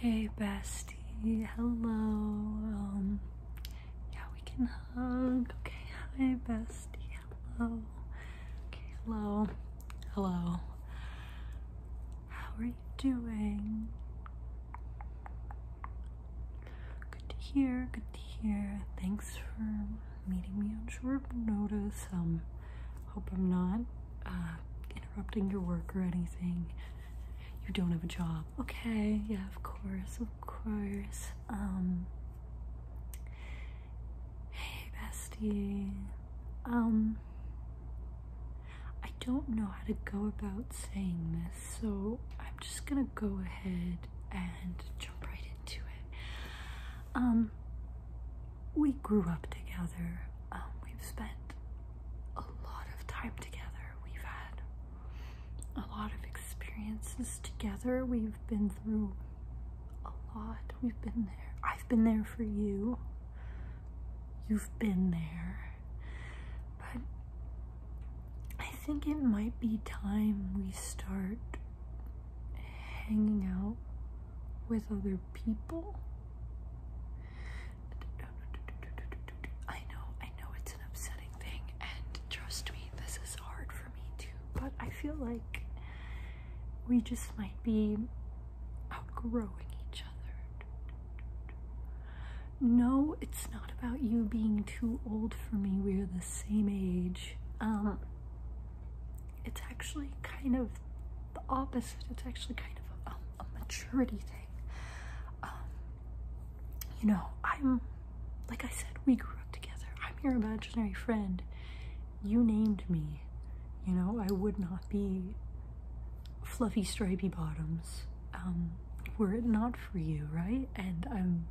Hey bestie, hello. Um, yeah, we can hug. Okay, hi bestie, hello. Okay, hello. Hello. How are you doing? Good to hear, good to hear. Thanks for meeting me on short notice. Um, hope I'm not uh, interrupting your work or anything. You don't have a job. Okay, yeah, of course, of course. Um, hey, bestie. Um, I don't know how to go about saying this, so I'm just gonna go ahead and jump right into it. Um, we grew up together. Um, we've spent a lot of time together. We've had a lot of experiences together. We've been through a lot. We've been there. I've been there for you. You've been there. But I think it might be time we start hanging out with other people. I know, I know it's an upsetting thing, and trust me, this is hard for me too, but I feel like we just might be outgrowing each other. No, it's not about you being too old for me, we're the same age. Um, it's actually kind of the opposite. It's actually kind of a, maturity thing. Um, you know, I'm like I said, we grew up together. I'm your imaginary friend. You named me. You know, I would not be fluffy stripy bottoms um, were it not for you, right? And I'm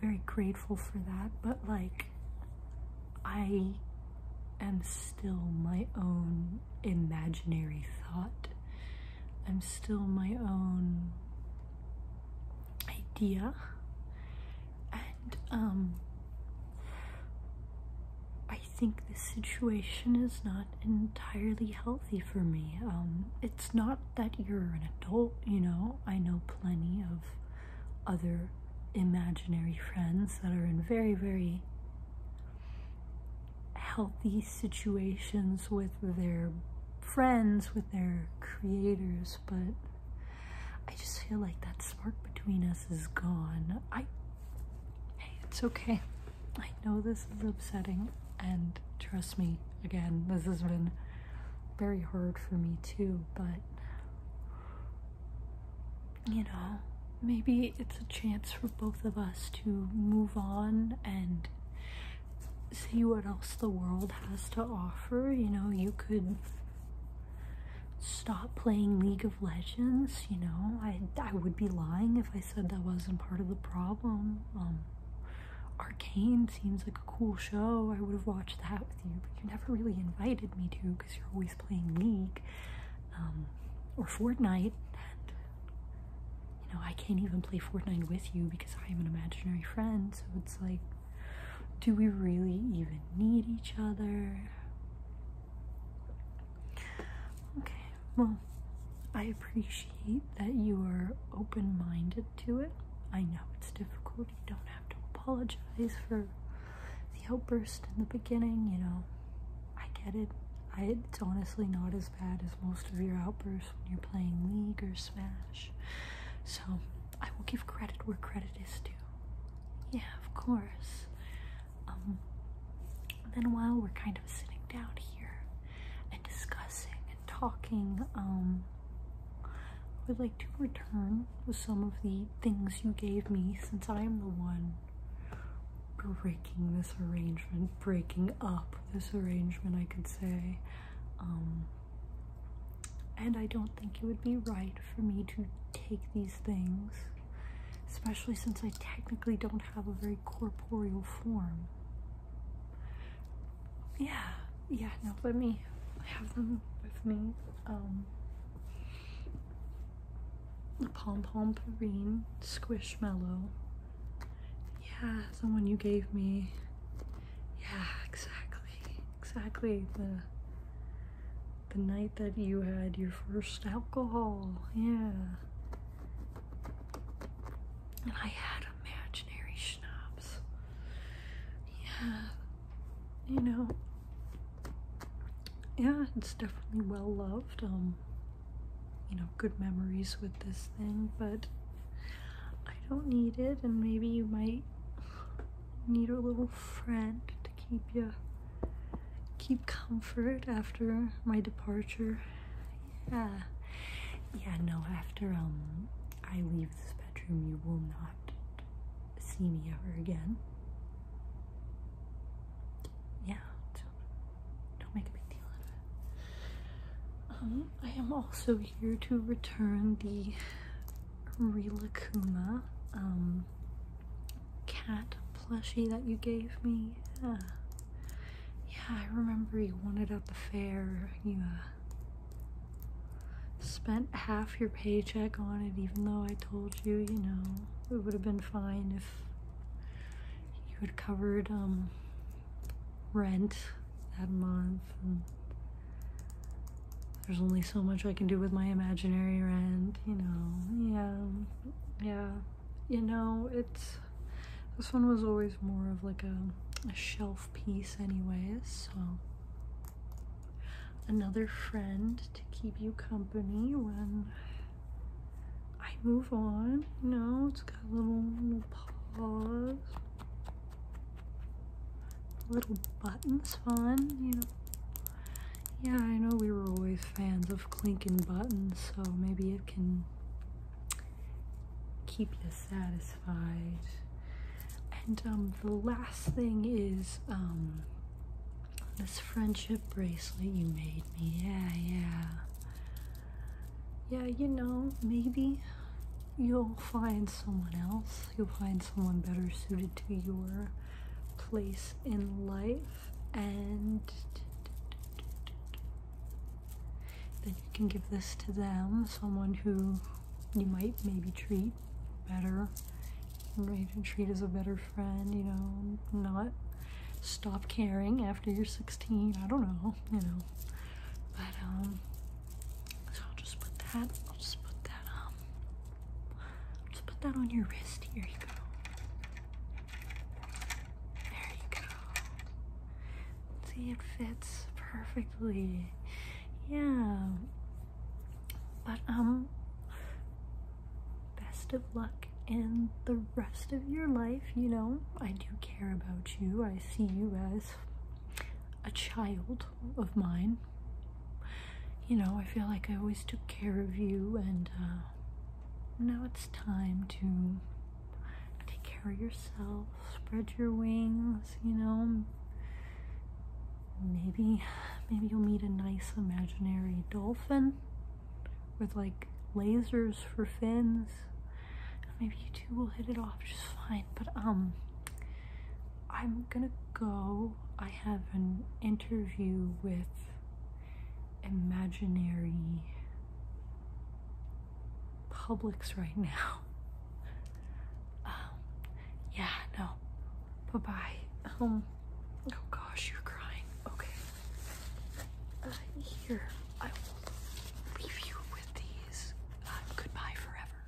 very grateful for that, but like I am still my own imaginary thought. I'm still my own idea. And um I think this situation is not entirely healthy for me. Um it's not that you're an adult, you know. I know plenty of other imaginary friends that are in very, very healthy situations with their friends, with their creators, but I just feel like that spark between us is gone. I, hey, it's okay. I know this is upsetting, and trust me, again, this has been very hard for me too, but you know, maybe it's a chance for both of us to move on and see what else the world has to offer. You know, you could stop playing League of Legends, you know. I I would be lying if I said that wasn't part of the problem. Um Arcane seems like a cool show. I would have watched that with you, but you never really invited me to because you're always playing League um, or Fortnite. And you know, I can't even play Fortnite with you because I'm an imaginary friend. So it's like, do we really even need each other? Okay, well, I appreciate that you are open minded to it. I know it's difficult. You don't have to apologize for the outburst in the beginning, you know. I get it. it's honestly not as bad as most of your outbursts when you're playing League or Smash. So, I will give credit where credit is due. Yeah, of course. Um, then while we're kind of sitting down here, and discussing and talking. Um, I would like to return with some of the things you gave me since I am the one breaking this arrangement, breaking up this arrangement, I could say. Um, and I don't think it would be right for me to take these things, especially since I technically don't have a very corporeal form. Yeah, yeah, no, let me have them with me. Um, the Pom Pom squish mellow. Yeah, someone you gave me. Yeah, exactly. Exactly. The the night that you had your first alcohol. Yeah. And I had imaginary schnapps. Yeah, you know, yeah, it's definitely well loved. Um, you know, good memories with this thing, but I don't need it, and maybe you might need a little friend to keep you keep comfort after my departure. Yeah. Yeah, no, after um I leave this bedroom you will not see me ever again. Yeah, don't, make a big deal out of it. Um, I am also here to return the Rilakuma. Um, cat plushie that you gave me. Yeah, yeah I remember you wanted at the fair. You uh, spent half your paycheck on it, even though I told you, you know, it would have been fine if you had covered um, rent that month. there's only so much I can do with my imaginary rent, you know. Yeah, yeah you know it's this one was always more of like a, a shelf piece anyways so another friend to keep you company when I move on you know it's got a little, little paws little buttons fun you know yeah, I know we were always fans of clinking buttons, so maybe it can keep you satisfied. And um, the last thing is um, this friendship bracelet you made me. Yeah, yeah. Yeah, you know, maybe you'll find someone else. You'll find someone better suited to your place in life and then you can give this to them, someone who you might maybe treat better, right? And treat as a better friend, you know, not stop caring after you're 16. I don't know, you know. But um so I'll just put that, I'll just put that um just put that on your wrist. Here you go. There you go. See, it fits perfectly. Yeah. But, um, best of luck in the rest of your life. You know, I do care about you. I see you as a child of mine. You know, I feel like I always took care of you, and uh, now it's time to take care of yourself, spread your wings, you know. Maybe, maybe you'll meet a nice imaginary dolphin with like lasers for fins. Maybe you two will hit it off just fine, but um, I'm gonna go. I have an interview with imaginary Publix right now. Um, yeah, no. Bye bye. Um, oh gosh, you're crying. Okay. Uh, here, I will leave you with these. Uh, goodbye forever.